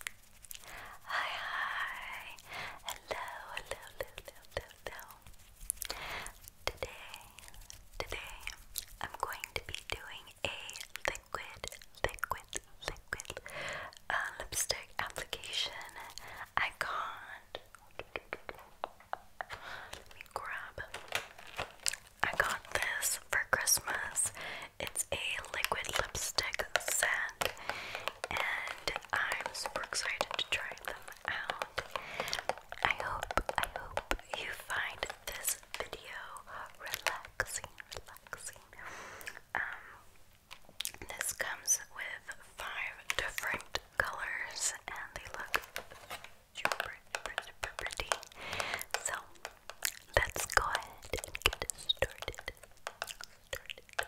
Hi, hi. Hello, hello, hello, hello, Today, today, I'm going to be doing a liquid, liquid, liquid uh, lipstick application. I can Let me grab. I got this for Christmas it's a liquid lipstick scent, and I'm super excited to try them out. I hope, I hope you find this video relaxing, relaxing. Um, this comes with five different colors, and they look super, super, super pretty. So Let's go ahead and get started. Go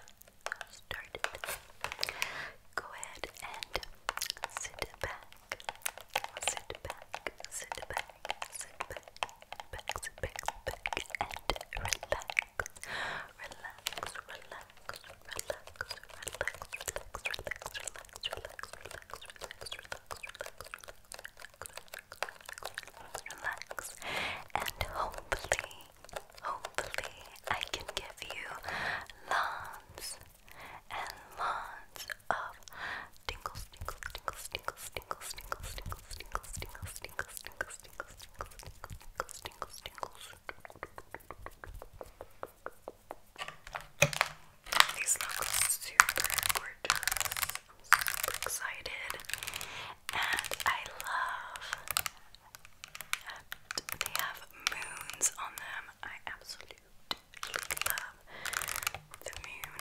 ahead and sit back. Sit back. Sit back. Sit back. Back. back. Back. And Relax. Relax. Relax. Relax. Relax. Relax. Relax. Relax. Relax. Relax. Relax. Relax. Relax relax, and hopefully, hopefully, I can give you lots and lots of tingles, tingles, tingles, tingles, tingles, tingles, tingles, tingles, tingles, tingles, tingles, tingles, tingles, tingles, tingles, These look super gorgeous super excited, and I love that they have moons on them. I absolutely love the moon.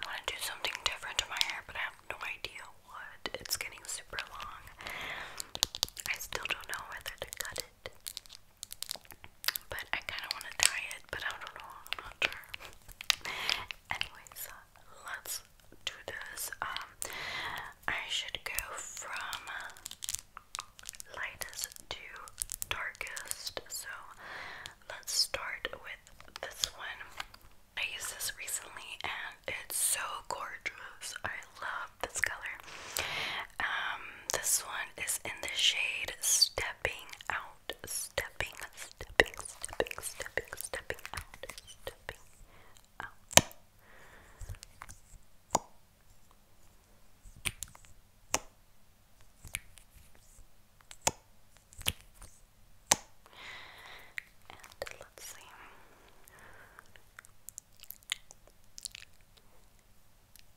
I want to do something different to my hair, but I have no idea what. It's getting super long. I still don't know whether to cut it but I kind of want to try it, but I don't know. I'm not sure. Anyways, uh, let's do this. Um, I should go from lightest to darkest. So let's start with this one. I used this recently, and it's so gorgeous. I love this color. Um, this one is in the shade Stepping Out stepping, stepping, stepping, stepping, stepping out, stepping out. And let's see.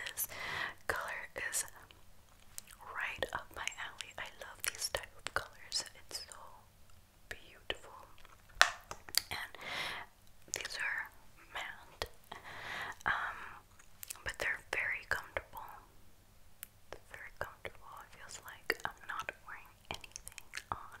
This color is right up my alley. I love these type of colors. It's so beautiful. And these are matte. Um, but they're very comfortable. very comfortable. It feels like I'm not wearing anything on.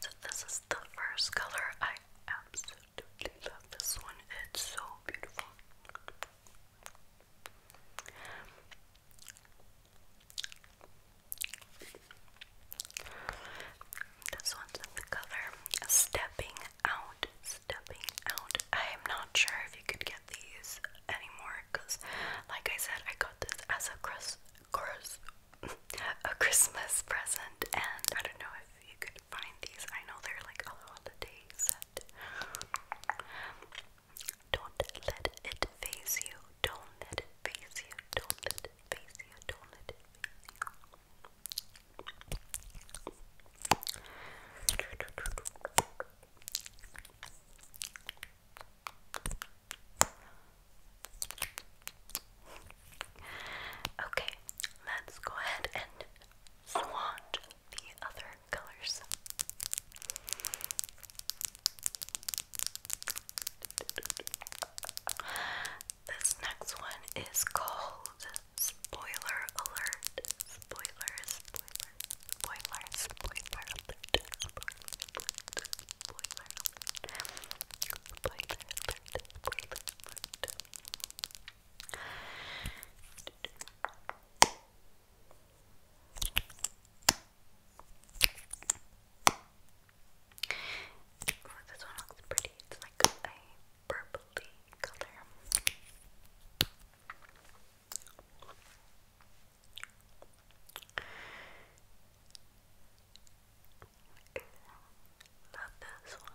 So this is the first color. I absolutely love this one. It's so beautiful. This one's the color Stepping Out. Stepping Out. I am not sure if you could get these anymore because, like I said, I got this as a, Chris course, a Christmas present, and I don't know if you could find these. I know they're like a holiday set. Don't let it phase you. Don't let it phase you. Don't let it phase you. Don't let it phase you. Okay, let's go ahead and swatch the other colors. This next one is called Spoiler Alert. Spoiler, spoiler, spoiler, Oh, this one looks pretty. It's like a purpley color. Love this one.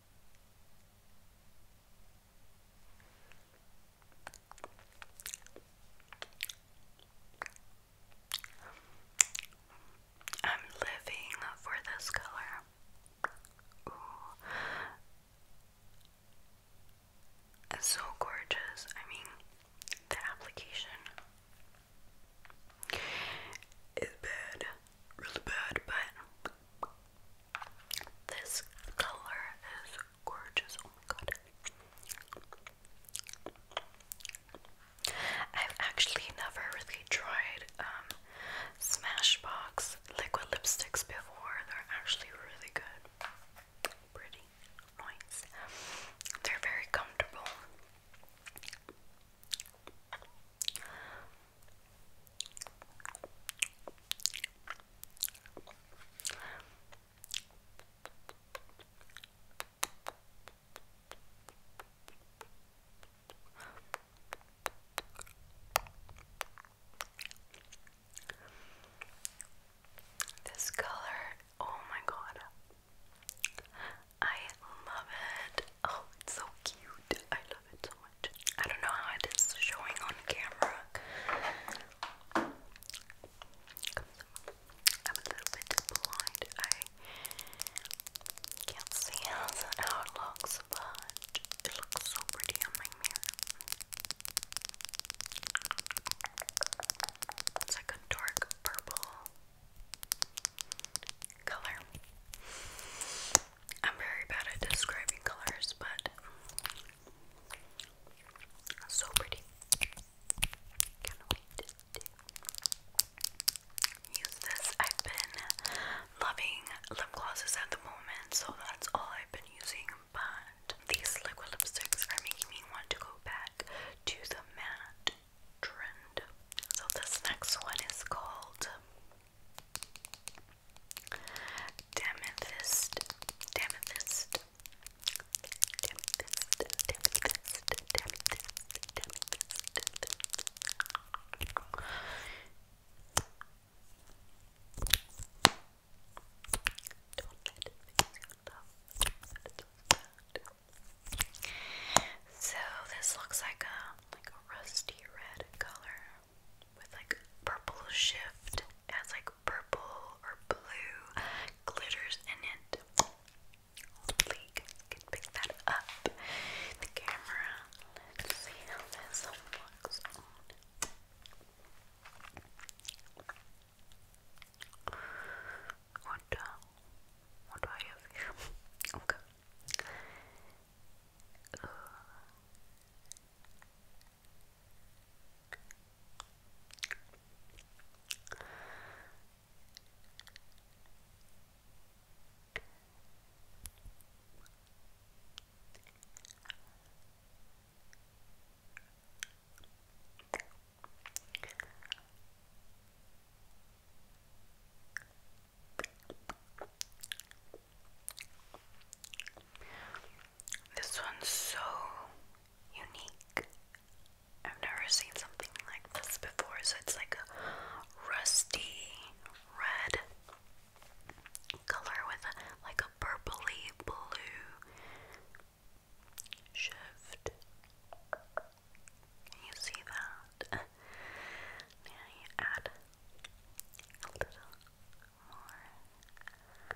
I'm living for this color. Ooh. so gorgeous. I mean, the application is bad really bad, but this color is gorgeous. Oh my god. I've actually never really tried um, Smashbox liquid lipsticks before. They're actually really good. Pretty nice. They're very comfortable. This color, oh my god. I love it. Oh, it's so cute. I love it so much. I don't know how it is showing on camera. I'm a little bit blind. I can't see how it looks, but it looks so pretty on my mirror. It's like a dark purple color. I'm very bad at describing colors, but so pretty. use this. I've been loving lip glosses at the moment, so that's all I've been using. But these liquid lipsticks are making me want to go back to the matte so this next one is called Damethyst. Damethyst. Damethyst. Damethyst. Damethyst. Damethyst. do so this looks like a like a rusty red color with like purple shift. It has like purple or blue glitters in it. Hopefully can pick that up. The camera. Let's see how this one looks what, uh, what do I okay. This one's so unique. I've never seen something like this before, so it's like a rusty red color with like a purpley blue shift. You see that? now you add a little more. Okay.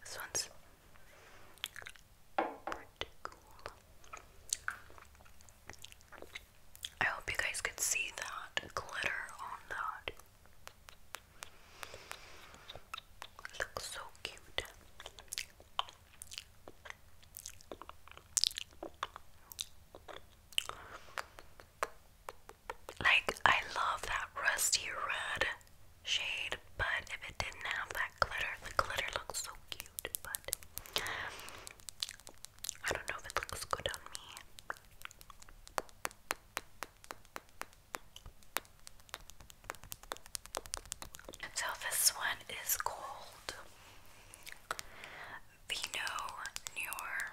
This one's pretty cool. I hope you guys could see that glitter on that. looks so cute. Like, I love that rusty red shade, but if it didn't have that glitter, the glitter looks so cute, but I don't know if it looks good on me. So, this one is called Vino Noir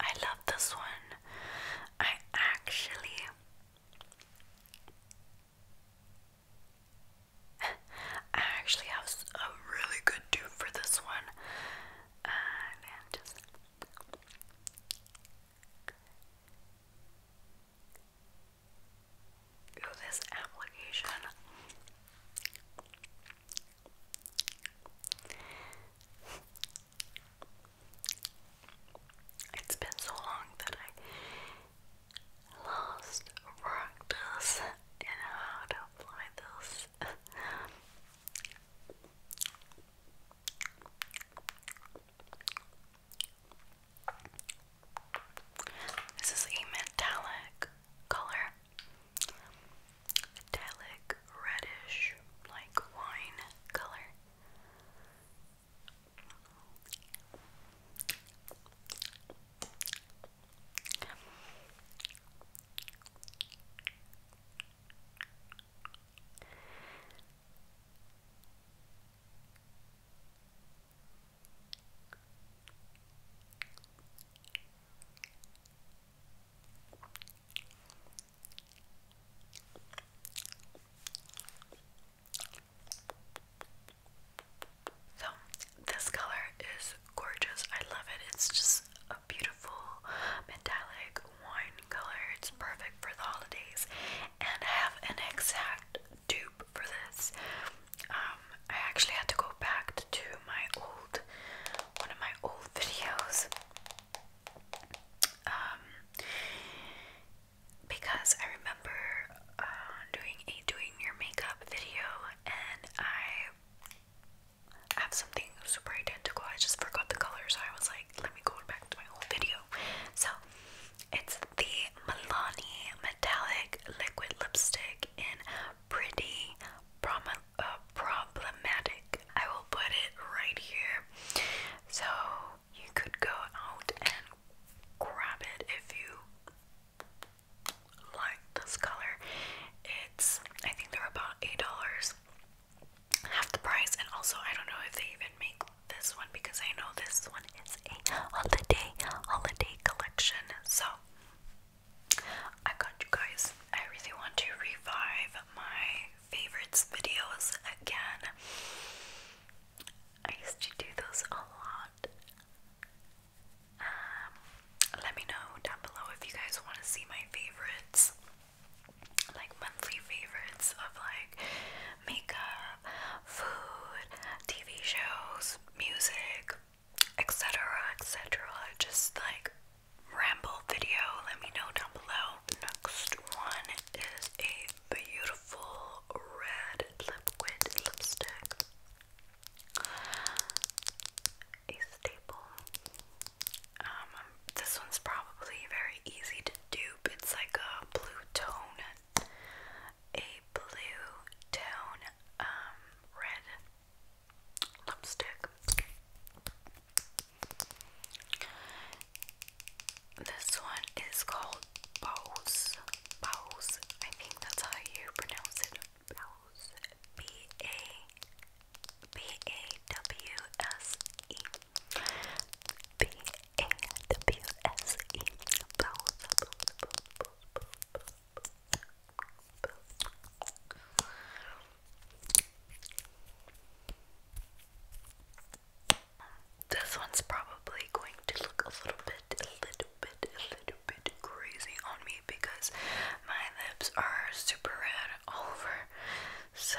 I love this one. I actually I actually have a really good dupe for this one. Uh, this application. It's been so long that I lost practice in how to apply this. This is a metallic color. Metallic reddish, like wine color. So, this color is gorgeous. I love it. It's just a beautiful metallic wine color. It's perfect for the holidays. And I have an exact dupe for this. Um, I actually had to go back to my old, one of my old videos. Um, because I remember uh, doing a doing your makeup video and I have something super identical. I just forgot the color, so I was like, like let me go back to my whole video. So it's the Milani Metallic Liquid Lipstick in Pretty Prom uh, Problematic. I will put it right here. So you could go out and grab it if you like this color. It's I think they're about eight dollars half the price. And also, I don't know if they even make this one because I know this one is a holiday holiday collection. So I got you guys. I really want to revive my favorites videos again. I used to do those a lot. Um, let me know down below if you guys want to see my favorites like monthly favorites of like makeup, food, TV shows, music, etc. etc. Just like ramble video. Let me know down below. Next one is a beautiful red liquid lipstick. A staple um, this one's probably very easy to dupe. It's like a blue tone, a blue tone, um, red lipstick. This one is called bows. Bose. I think that's how you pronounce it. Bose. B A B A W S E. B A W S E. This one's probably going to look a little bit, a little bit, a little bit crazy on me because my lips are super red over. So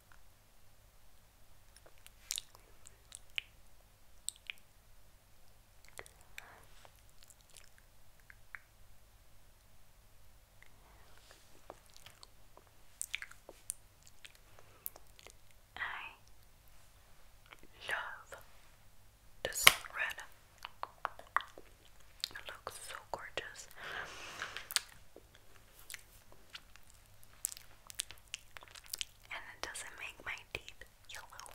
I love the red. It looks so gorgeous. And it doesn't make my teeth yellow.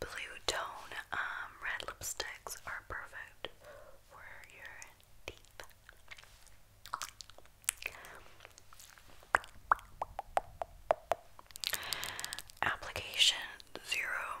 Blue tone um, red lipsticks are perfect for your teeth. Application zero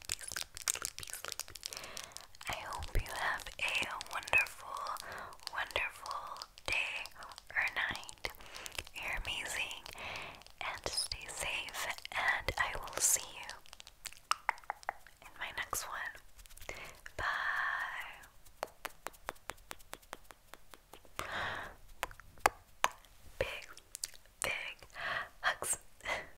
I hope you have a wonderful, wonderful day or night. You're amazing and stay safe, and I will see you in my next one. Bye. Big, big hugs.